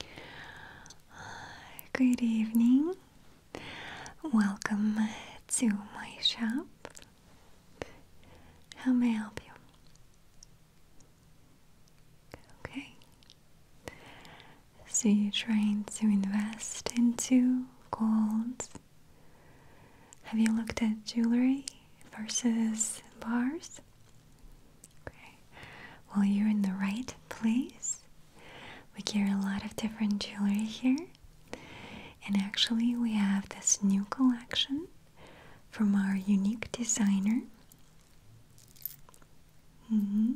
Uh, good evening. Welcome to my shop. How may I help you? Okay. So you're trying to invest into gold. Have you looked at jewelry versus bars? Okay. Well, you're in the right place. We carry a lot of different jewelry here. And actually, we have this new collection from our unique designer. Mm-hmm.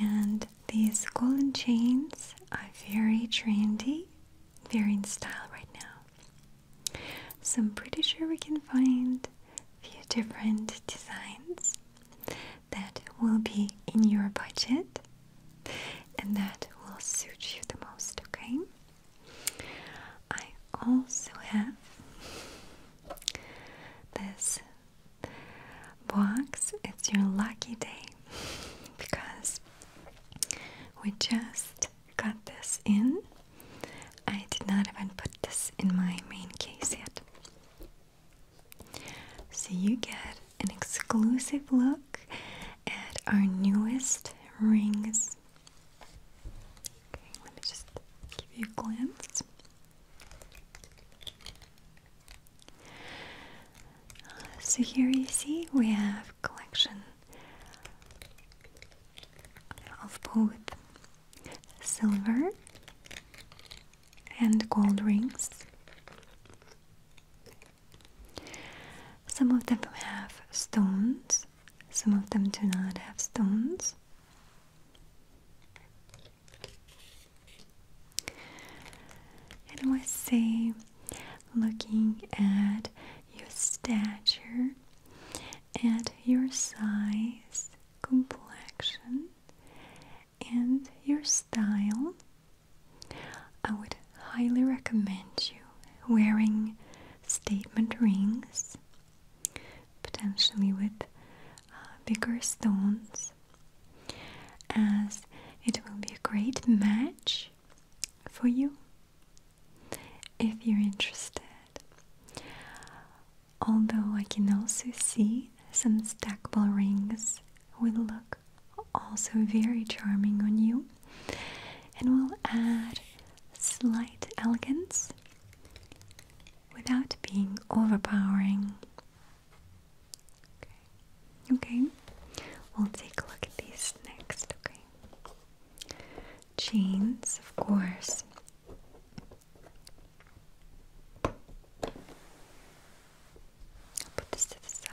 And these golden chains are very trendy, very in style right now. So I'm pretty sure we can find a few different designs that will be in your budget and that will suit you the most, okay? I also have this box. It's your lucky day because we just got this in. I did not even put this in my main case yet. So you get an exclusive look at our newest rings. Okay, let me just give you a glance. so here you see we have collection of both silver and gold rings. Some of them have stones, some of them do not have stones. And I was say looking at your stature, and your size, complexion, and your style, I would highly recommend you wearing statement rings, potentially with uh, bigger stones, as it will be a great match for you if you're interested. Although I can also see some stackable rings will look also very charming on you and will add slight elegance without being overpowering. Okay. okay, we'll take a look at these next, okay? chains, of course. I'll put this to the side.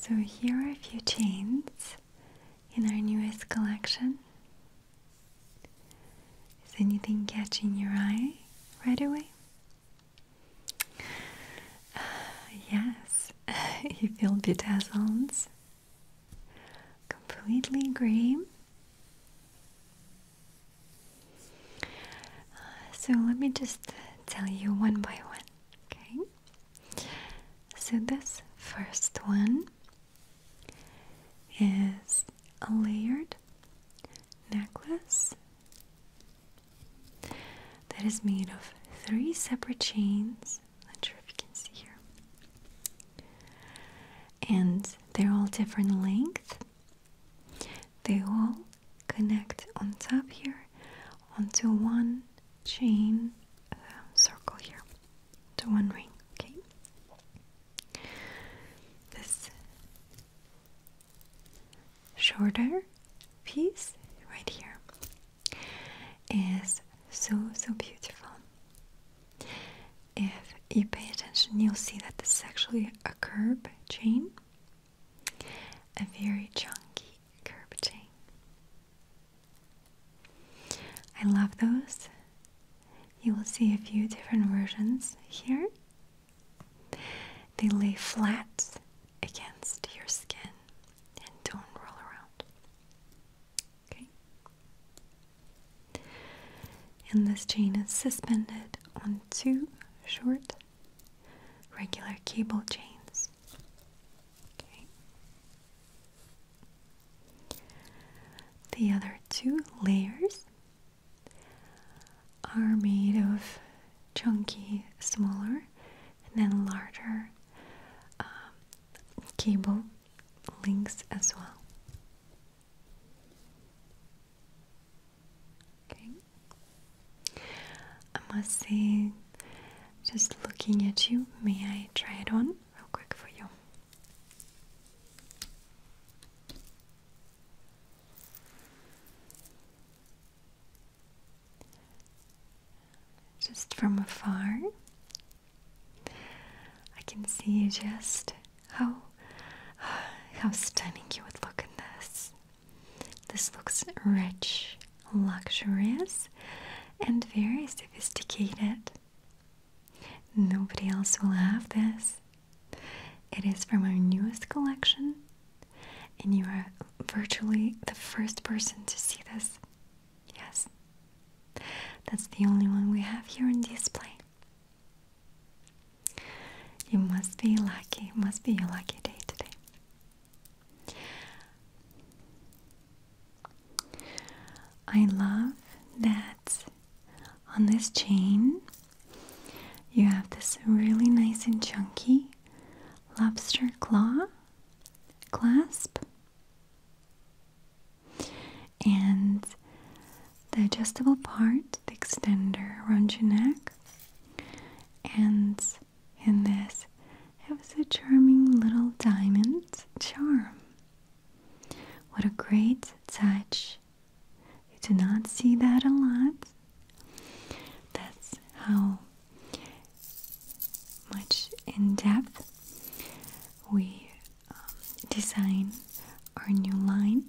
So, here are a few chains in our newest collection. Is anything catching your eye right away? Uh, yes, you feel bedazzled. Completely green. Uh, so let me just tell you one by one, okay? So this first one is a layered necklace that is made of three separate chains. Not sure if you can see here. And they're all different length. They all connect on top here onto one chain um, circle here, to one ring. Okay. This shorter piece right here is so so beautiful. If you pay attention, you'll see that this is actually a curb chain, a very chunky curb chain. I love those. You will see a few different versions here. They lay flat against your skin and don't roll around. Okay? And this chain is suspended on two short regular cable chains. Okay. The other two layers are made of chunky, smaller, and then larger um, cable links as well. Okay, I must say, just looking at you, may I try it on real quick for you? Just from afar, I can see just how how stunning you would look in this. This looks rich, luxurious, and very sophisticated. Nobody else will have this. It is from our newest collection and you are virtually the first person to see this. Yes, that's the only one we have here on display. You must be lucky, must be your lucky day today. I love that on this chain you have this really nice and chunky lobster claw clasp and the adjustable part, the extender around your neck. And in this, it was a charming little diamond charm. What a great touch! You do not see that a lot. That's how much in depth. We um, design our new line.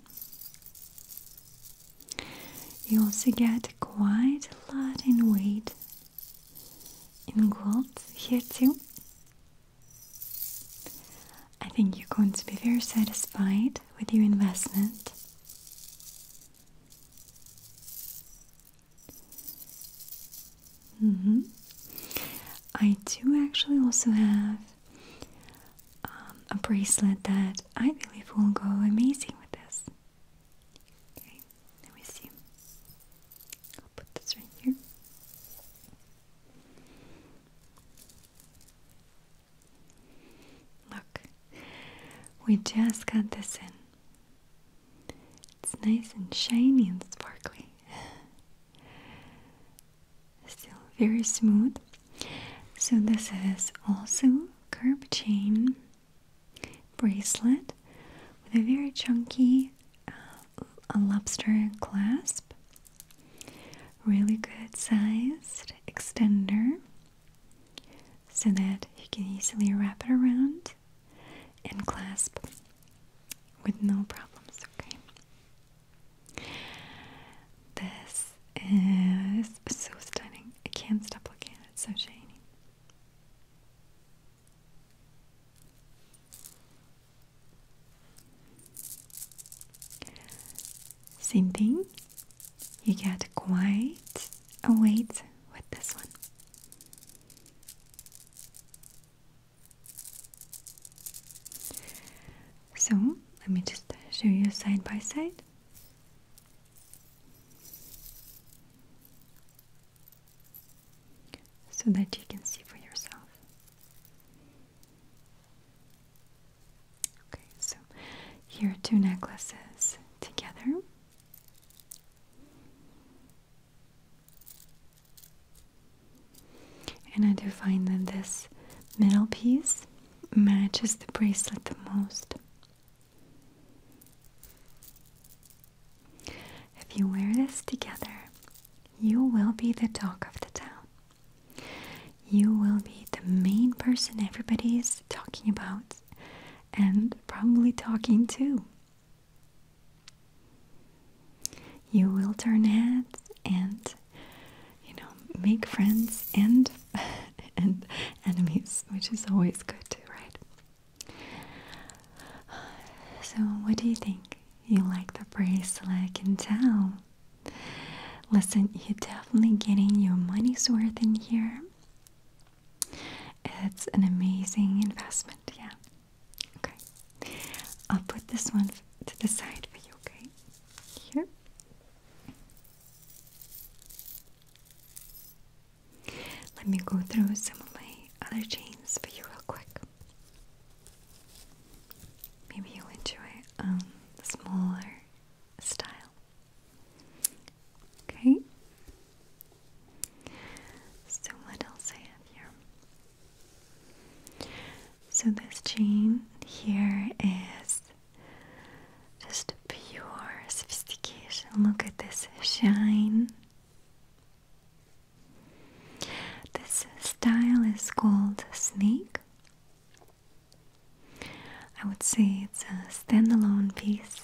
You also get quite a lot in weight in gold here too. I think you're going to be very satisfied with your investment. Mm -hmm. I do actually also have um, a bracelet that I believe will go amazing with this. Okay, let me see. I'll put this right here. Look, we just got this in. It's nice and shiny and sparkly. Still very smooth. So, this is also curb chain bracelet with a very chunky uh, lobster clasp. Really good sized extender so that you can easily wrap it around tight and clasp with no problems, okay? This is so stunning. I can't stop looking at it, it's so shiny. Same thing, you get quite a weight with this one. So let me just show you side by side. So that you can see for yourself. Okay, so here are two necklaces together. And I do find that this middle piece matches the bracelet the most. If you wear this together, you will be the talk of the town. You will be the main person everybody is talking about and probably talking to. You will turn heads and you know make friends and and enemies, which is always good too, right? So what do you think? You like the bracelet, I can tell. Listen, you're definitely getting your money's worth in here. It's an amazing investment yeah. Okay. I'll put this one to the side for you, okay? Here. Let me go through some of my other chains for you real quick. Maybe you'll enjoy um smaller style. Okay. So what else I have here? So this chain here is just pure sophistication. Look at this shine. This style is called Snake. I would say it's a standalone piece.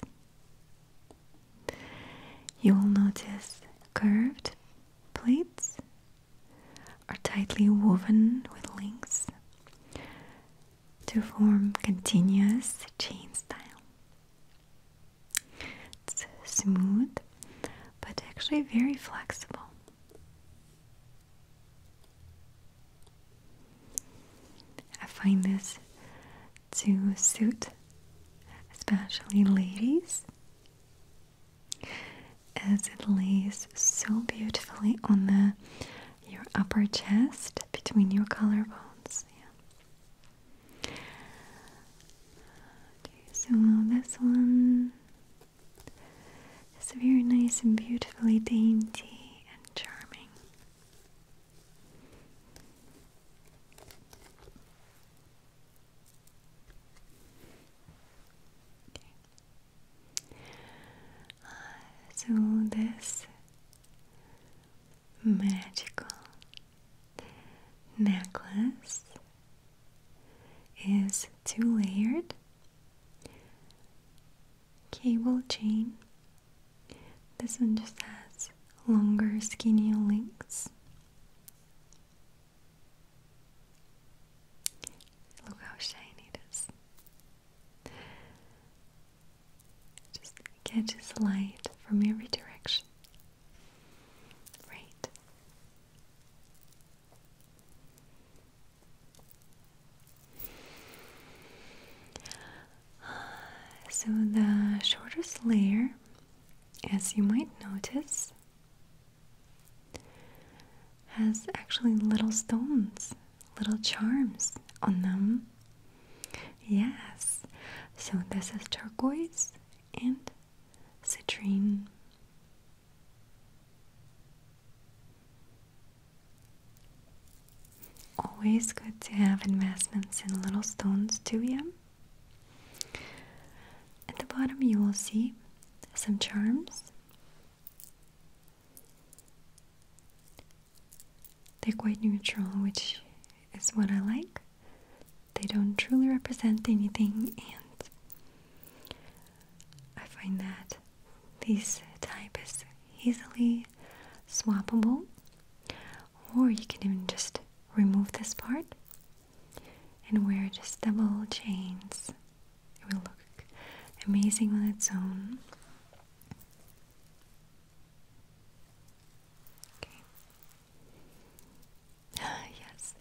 You will notice curved plates are tightly woven with links to form continuous chain style. It's smooth but actually very flexible. I find this to suit especially ladies as it lays so beautifully on the your upper chest between your collarbones. Yeah. so this one is very nice and beautifully dainty and charming. Uh, so this magical necklace is two layered cable chain. This one just has longer skinnier links Look how shiny it is. Just catches light from every direction. Right. So the shortest layer as you might notice, has actually little stones, little charms on them. Yes, so this is turquoise and citrine. Always good to have investments in little stones too, yeah? At the bottom, you will see some charms. They're quite neutral, which is what I like. They don't truly represent anything, and I find that this type is easily swappable, or you can even just remove this part and wear just double chains. It will look amazing on its own. Okay. yes.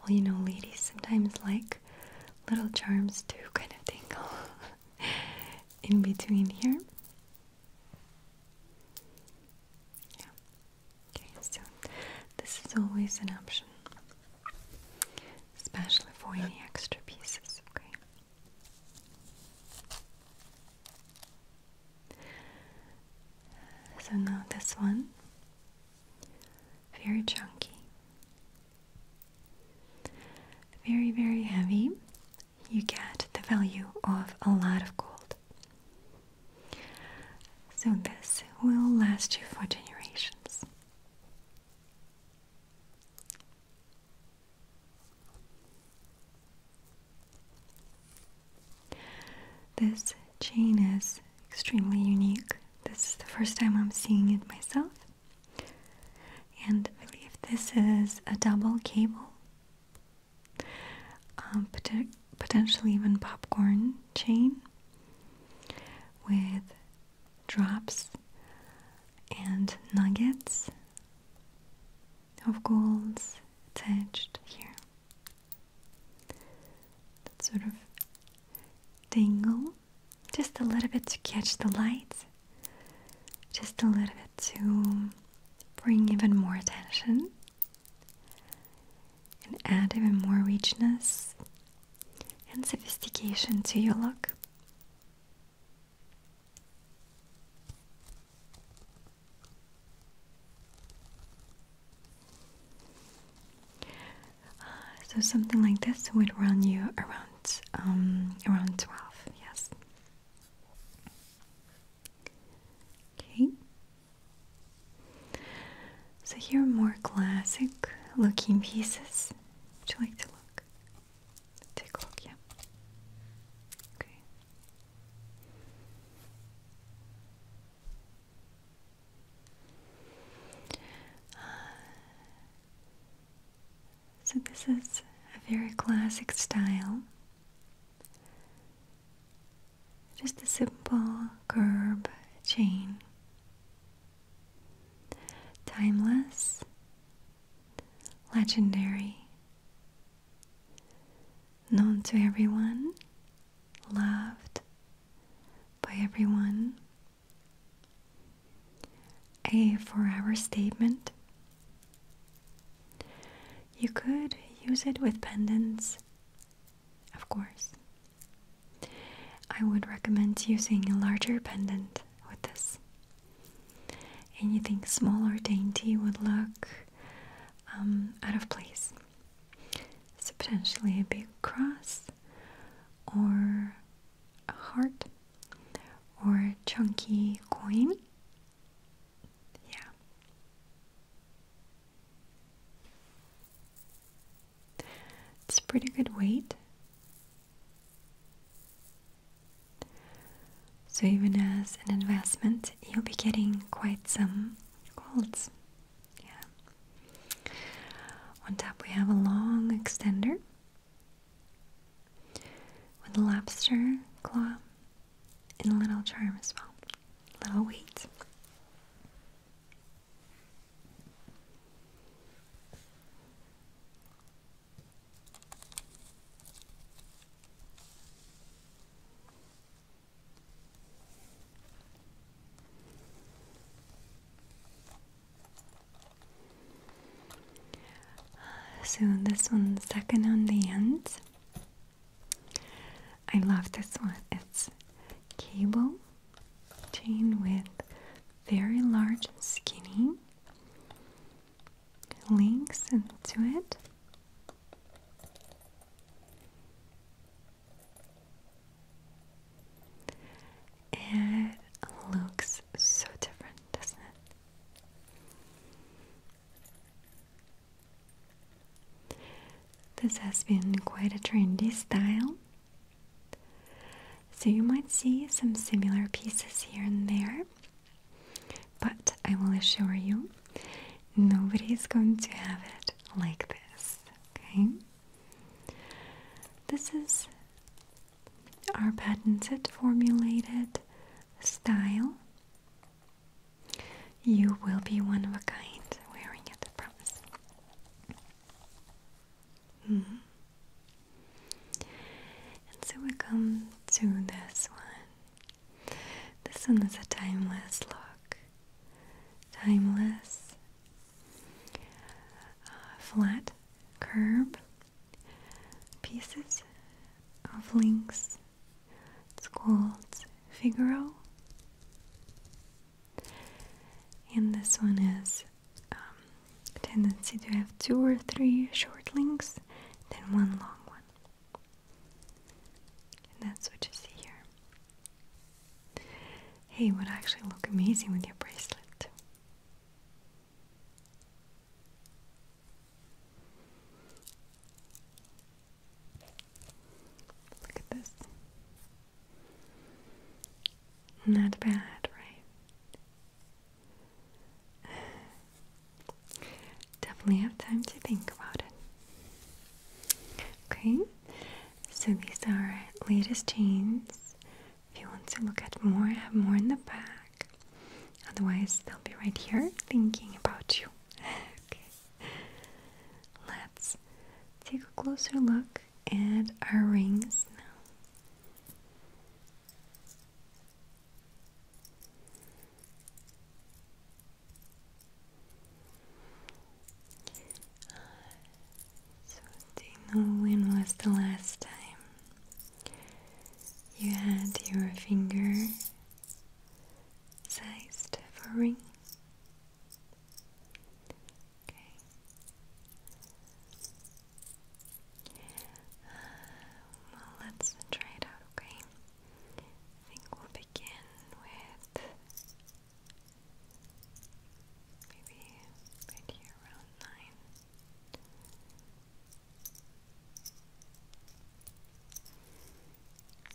Well, you know, ladies sometimes like little charms to kind of tingle in between here. Yeah. Okay, so this is always an option, especially for any extra pieces, okay? So now this one, very chunky, very, very heavy. You get the value of a lot of gold. So, this will last you for generations. This chain is extremely unique. This is the first time I'm seeing it myself. And I believe this is a double cable. Um, potentially even popcorn chain with drops and nuggets of golds attached here. That sort of dangle just a little bit to catch the light, just a little bit to bring even more attention and add even more richness and sophistication to your look. Ah, so something like this would run you around um, around twelve. Yes. Okay. So here are more classic looking pieces. Would you like to look? Take a look, yeah. Okay. Uh, so this is a very classic style just a simple curb chain. Timeless, legendary, known to everyone, loved by everyone, a forever statement. You could use it with pendants of course. I would recommend using a larger pendant with this. Anything small or dainty would look um, out of place. So potentially a big cross or a heart or a chunky coin. Yeah. It's pretty good weight. So even as an investment, you'll be getting quite some golds. Yeah. On top we have a long extender with a lobster claw and a little charm as well. Little weights. Uh, so this one's second on the end. I love this one. It's cable chain with very large skinny links into it. It looks so different, doesn't it? This has been quite a trendy style. So you might see some similar pieces here and there, but I will assure you, nobody is going to have it like this, okay? This is our patented formulated style. You will be one of a kind wearing it, promise. Mm-hmm. And so we come to this one. This one is a timeless look. Timeless uh, flat curb pieces of links. It's called Figaro and this one has a um, tendency to have two or three short links, then one long one. And that's what you see here. Hey, would actually look amazing with your bracelet. Look at this. Not bad, right? Definitely have time to think about it. Okay, so these are latest jeans. If you want to look at more, I have more in the back. Otherwise, they'll be right here thinking about you. okay. Let's take a closer look at our rings now. So, do you know when was the last time you had your finger sized for a ring? Okay. Uh, well, let's try it out, okay? I think we'll begin with maybe right here around nine.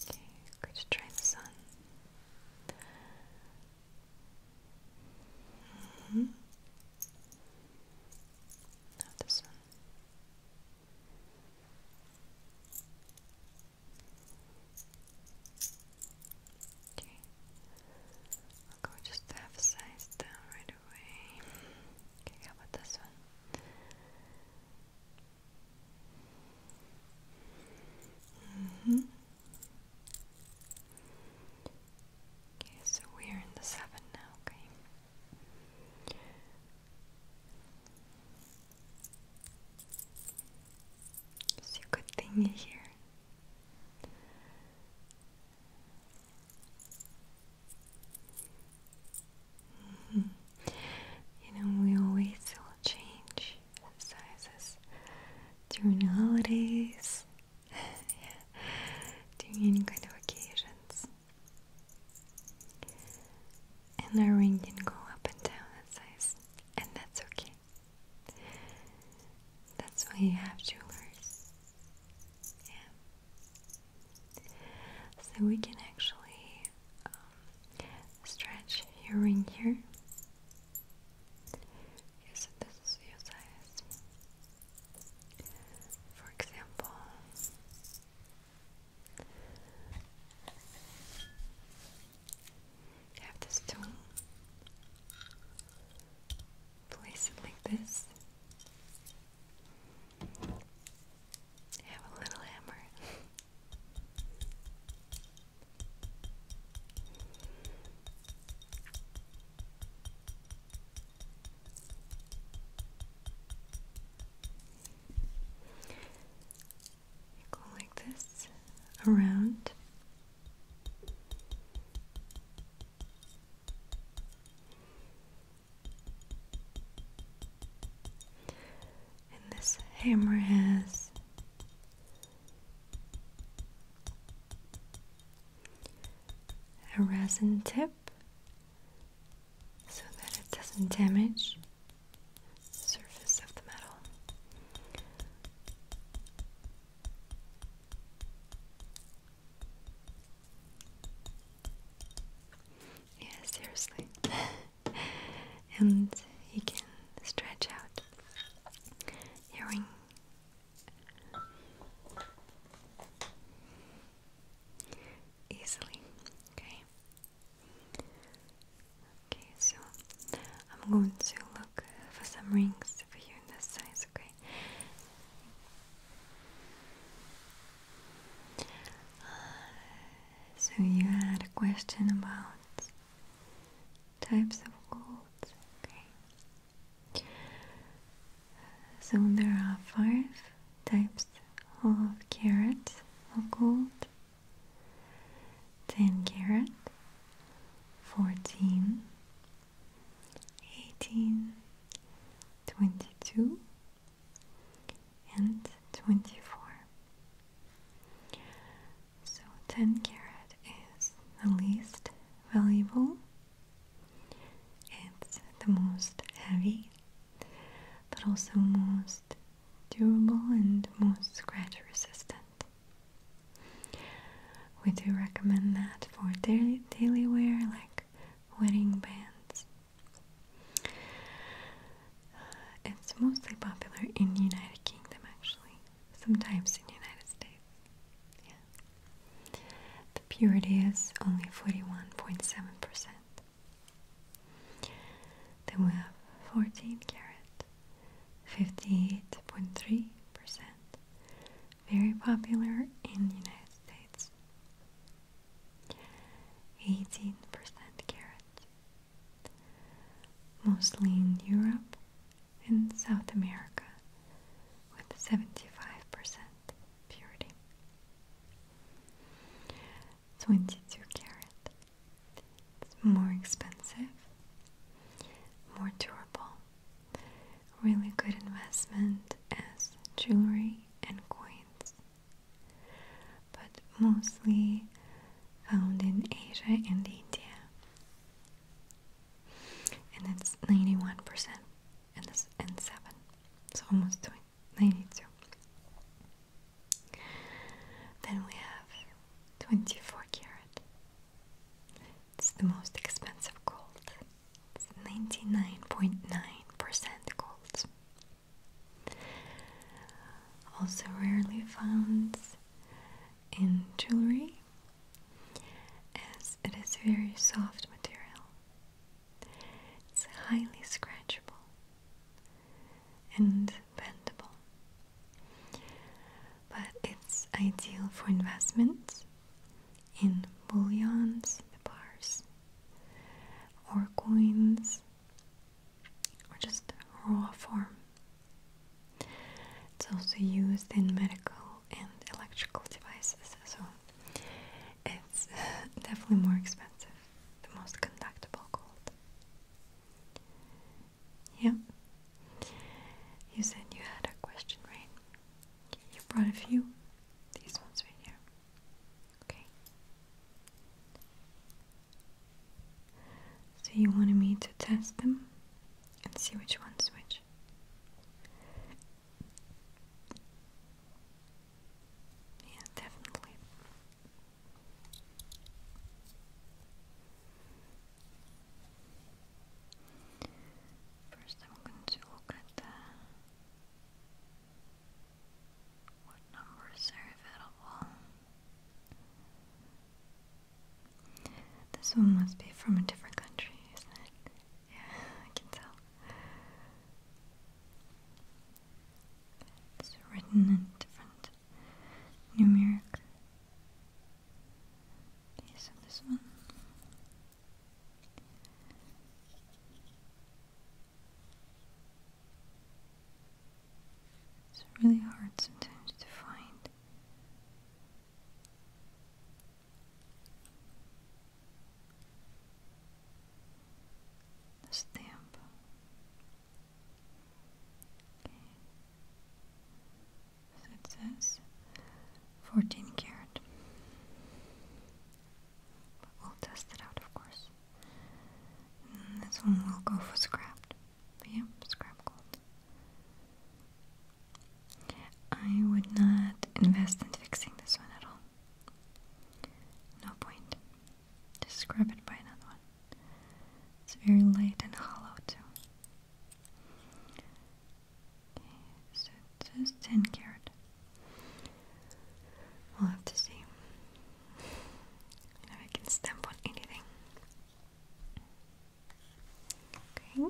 Okay, could you try this on? Mm -hmm. Not this one. Okay, I'll go just half a size down right away. Okay, how about this one? Mm -hmm. Okay, so we are in the seven now, okay? It's a here. Mm-hmm. You know, we always will change sizes during holidays, yeah. during any kind of occasions. And our ring can go up and down in size, and that's okay. That's why you have jewelers. Yeah. So we can actually um, stretch your ring here Yes, this is your size. For example, have this tool. Place it like this. have a little hammer go like this around. And this hammer has a resin tip so that it doesn't damage the surface of the metal. Yeah, seriously. and you can stretch out hearing easily. Okay. Okay, so I'm going to look for some rings for you in the size, okay? Uh, so you had a question about types of gold. Okay. So there are five types of carats of gold. 10 carat, 14, 18, 22, and 24. So 10 carat is the least valuable. It's the most heavy, but also most durable and most scratch resistant. We do recommend that for daily, daily wear like wedding bands. Uh, it's mostly popular in the United Kingdom actually sometimes in the United States. Yeah. The purity is only 41.7%. Then we have 14 carat, 58.3%. Very popular in the United States. 18% carat. Mostly in Europe, in South America with 75% purity. 22 carat. more expensive, more durable, really good investment as jewelry and coins, but mostly found in Asia and India and it's 91 percent and this and 7 so almost 20, 92 then we have 24 karat it's the most expensive gold it's 99.9% gold also rarely found in jewelry as it is a very soft material. It's highly scratchable and bendable, but it's ideal for investments in bullions, bars, or coins, or just raw form it's also used in medical and electrical devices, so it's uh, definitely more expensive. The most conductible gold. Yeah. You said you had a question, right? You brought a few. These ones right here. Okay. So you wanted me to test them and see which one's which much. Yeah, definitely. First, I'm going to look at the, what numbers are available. This one must be from a different country, isn't it? Yeah, I can tell. It's written in different numeric. Okay, so this one. It's really hard sometimes to find Nesse so it says fourteen carat, but we'll test it out, of course. this one will go for scrapped, yeah, scrap gold. I would not invest in fixing this one at all. No point. Just scrub it by another one. It's very light and hollow too. Okay, so it 10 carat. We'll have to see. You I can stamp on anything. Okay. Okay,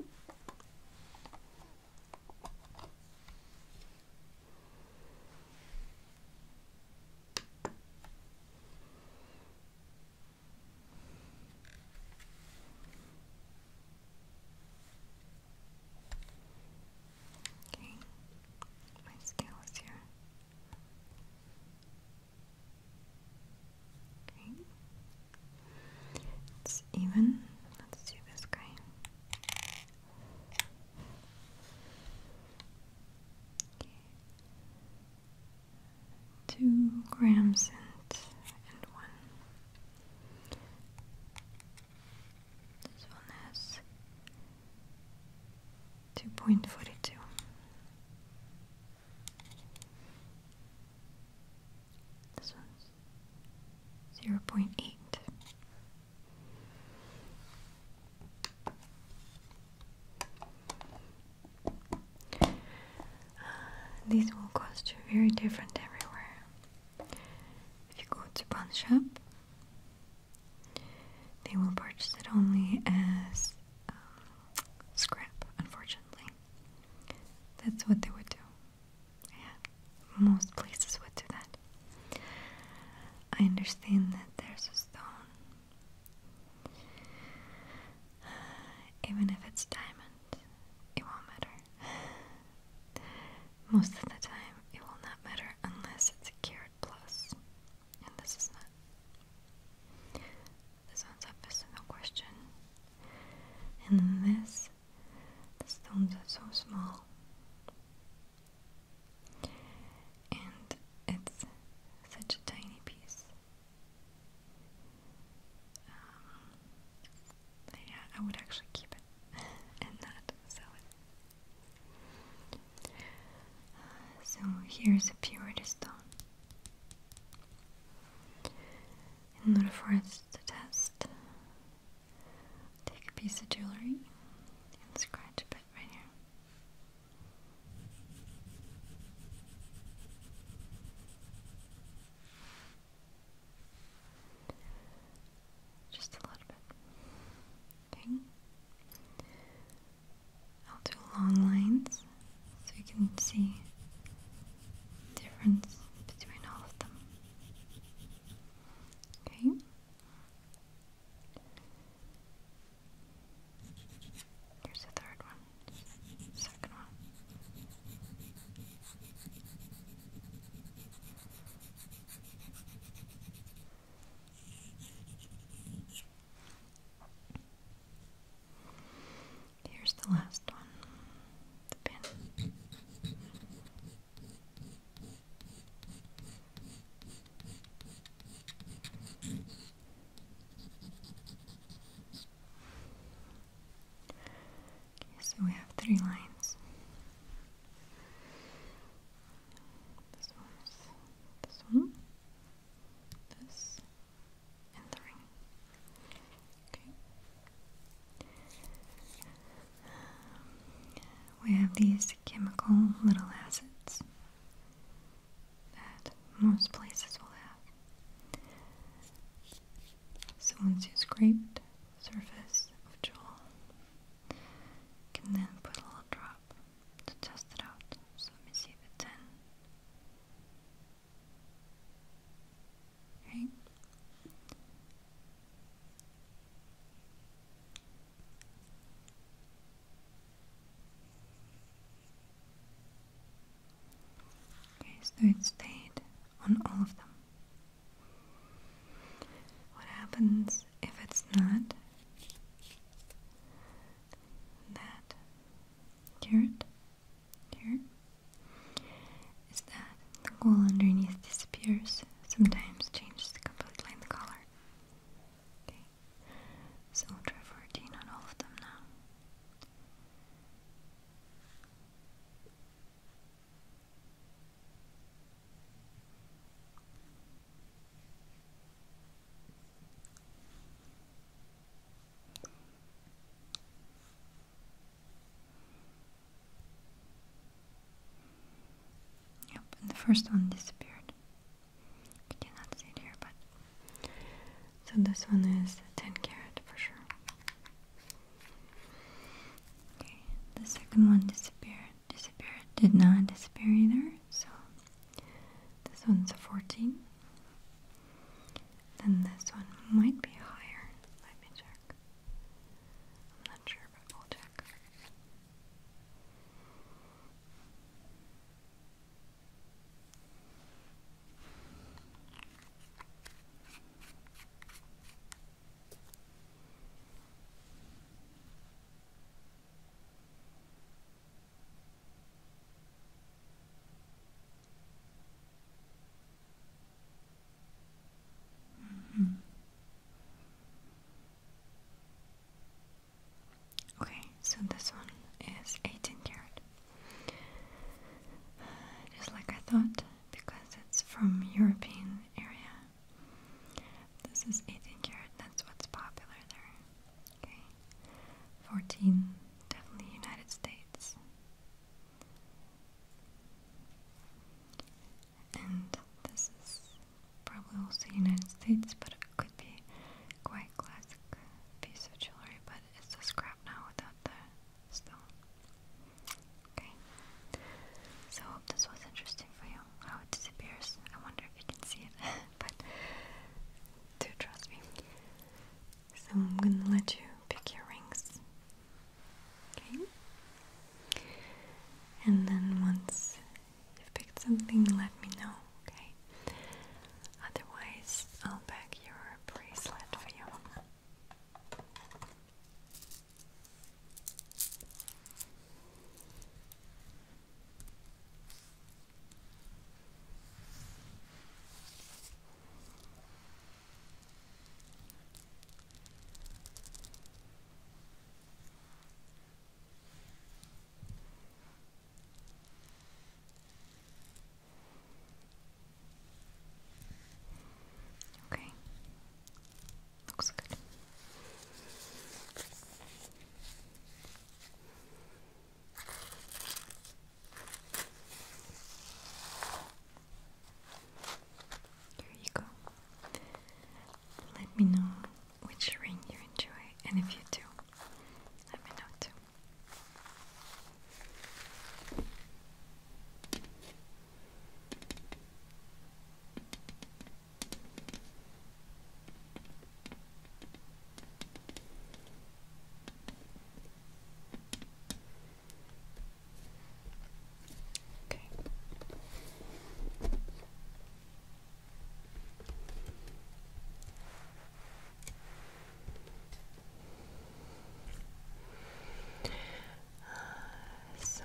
my scale is here. It's even. Let's do this guy. Two grams and one. This one has two point forty two. This one's zero point eight. Uh, these will cost you very different everywhere. If you go to pawn shop, they will purchase it only as um, scrap, unfortunately. That's what they would do. Yeah, most places would do that. I understand that there's a stone. Even if it's diamond, it won't matter. Most of the time, it will not matter unless it's a carat And this is not. This one's obvious, no question. And this the stones are so small. And it's such a tiny piece. Um, yeah, I would actually keep it and not sell uh, so here's a purity stone in order for us to test. Take a piece of jewelry and scratch a bit right here. Just a little bit. Okay. I'll do long lines so you can see difference between all of them. Okay. Here's the third one. Second one. Here's the last one. The pin. so we have three lines. This one this one, this, and the Okay. Um, we have these chemical little acids that most places will have. So once you scrape the surface of Joel, you can then put a little drop to test it out. So let me see if it's in right? Okay, so it stayed on all of them. What happens if it's not that carrot here is that the wall underneath disappears, sometimes changes completely the color. Okay, so we'll try 14 on all of them now. Yep, and the first one disappeared. I cannot see it here, but so this one is 10 carat for sure. Okay, the second one disappeared, disappeared, did not disappear either, so this one's a 14. Then this one might be higher. Let me check. I'm not sure, but we'll check. Mm-hmm. Okay, so this one is 18 karat. Uh, just like I thought, because it's from European area. This is 18 karat, that's what's popular there. Okay. 14, definitely United States. And this is probably also United States, but it could be quite classic piece of jewelry, but it's a scrap now without the stone. Okay. So this was interesting for you. How it disappears. I wonder if you can see it, but do trust me. So I'm gonna let you pick your rings Okay. And then once you've picked something, let me know, okay? Otherwise, I'll pack your bracelet for you. Okay. Looks good. Here you go. Let me know which ring you enjoy, and if you do, let me know too. Okay. Uh, so.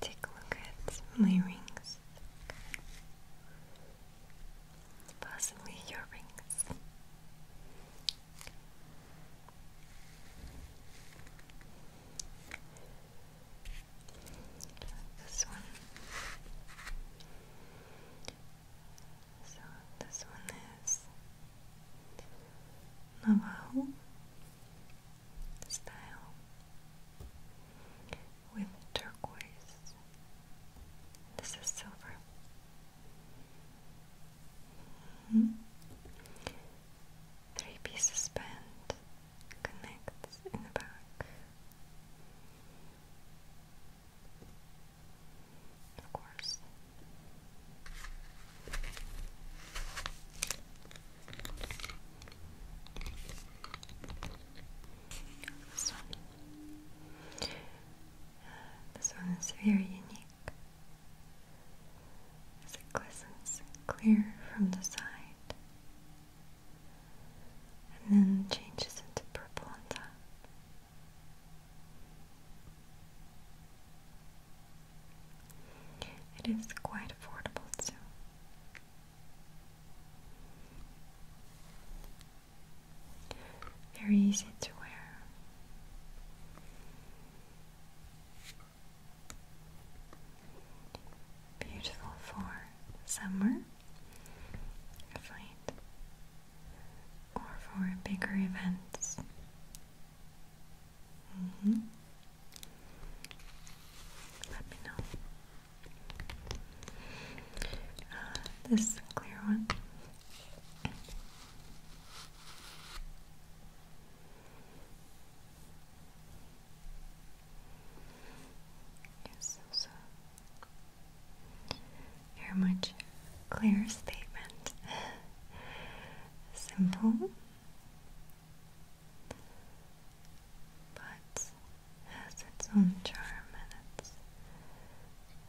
Take a look at my rings, possibly your rings. This one. So this one is Navajo style with turquoise. This is silver. Mm -hmm. Three pieces band connects in the back. Of course. This one is very unique. As it glistens clear from the side and then changes into purple on top. It is quite affordable too. Very easy to wear. Beautiful for summer, I find, or for bigger events. Mm-hmm. Let me know. Uh, this clear one Yes, so very much clear statement. Simple, but has its own charm and it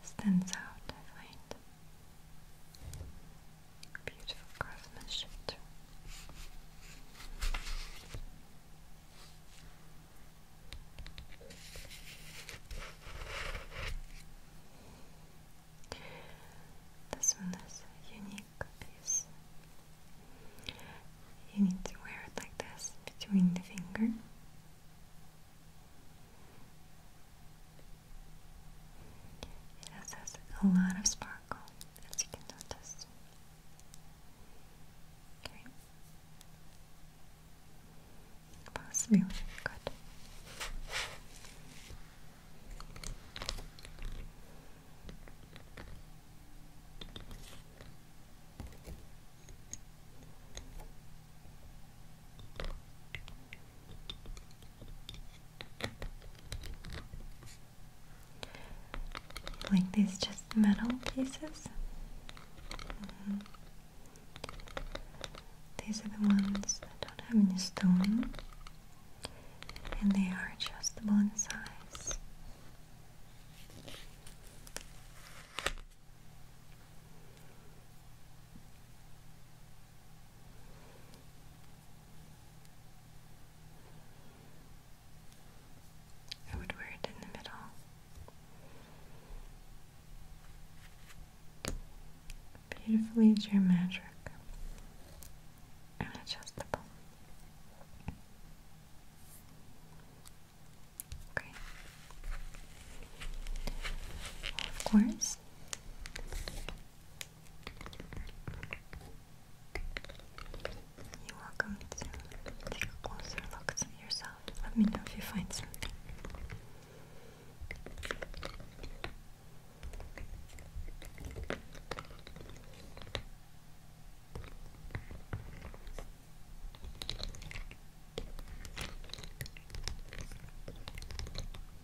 stands out, I find. Beautiful craftsmanship. This one is unique piece. You need to wear it like this between the finger it has a lot of sparkle, as you can notice. Okay. Possibly good. Like these just metal pieces. Mm-hmm. These are the ones that don't have any stone, and they are adjustable in size. I would wear it in the middle. Beautifully geometric and adjustable. Okay. of course, you welcome take closer look at yourself. Let me know if you find something.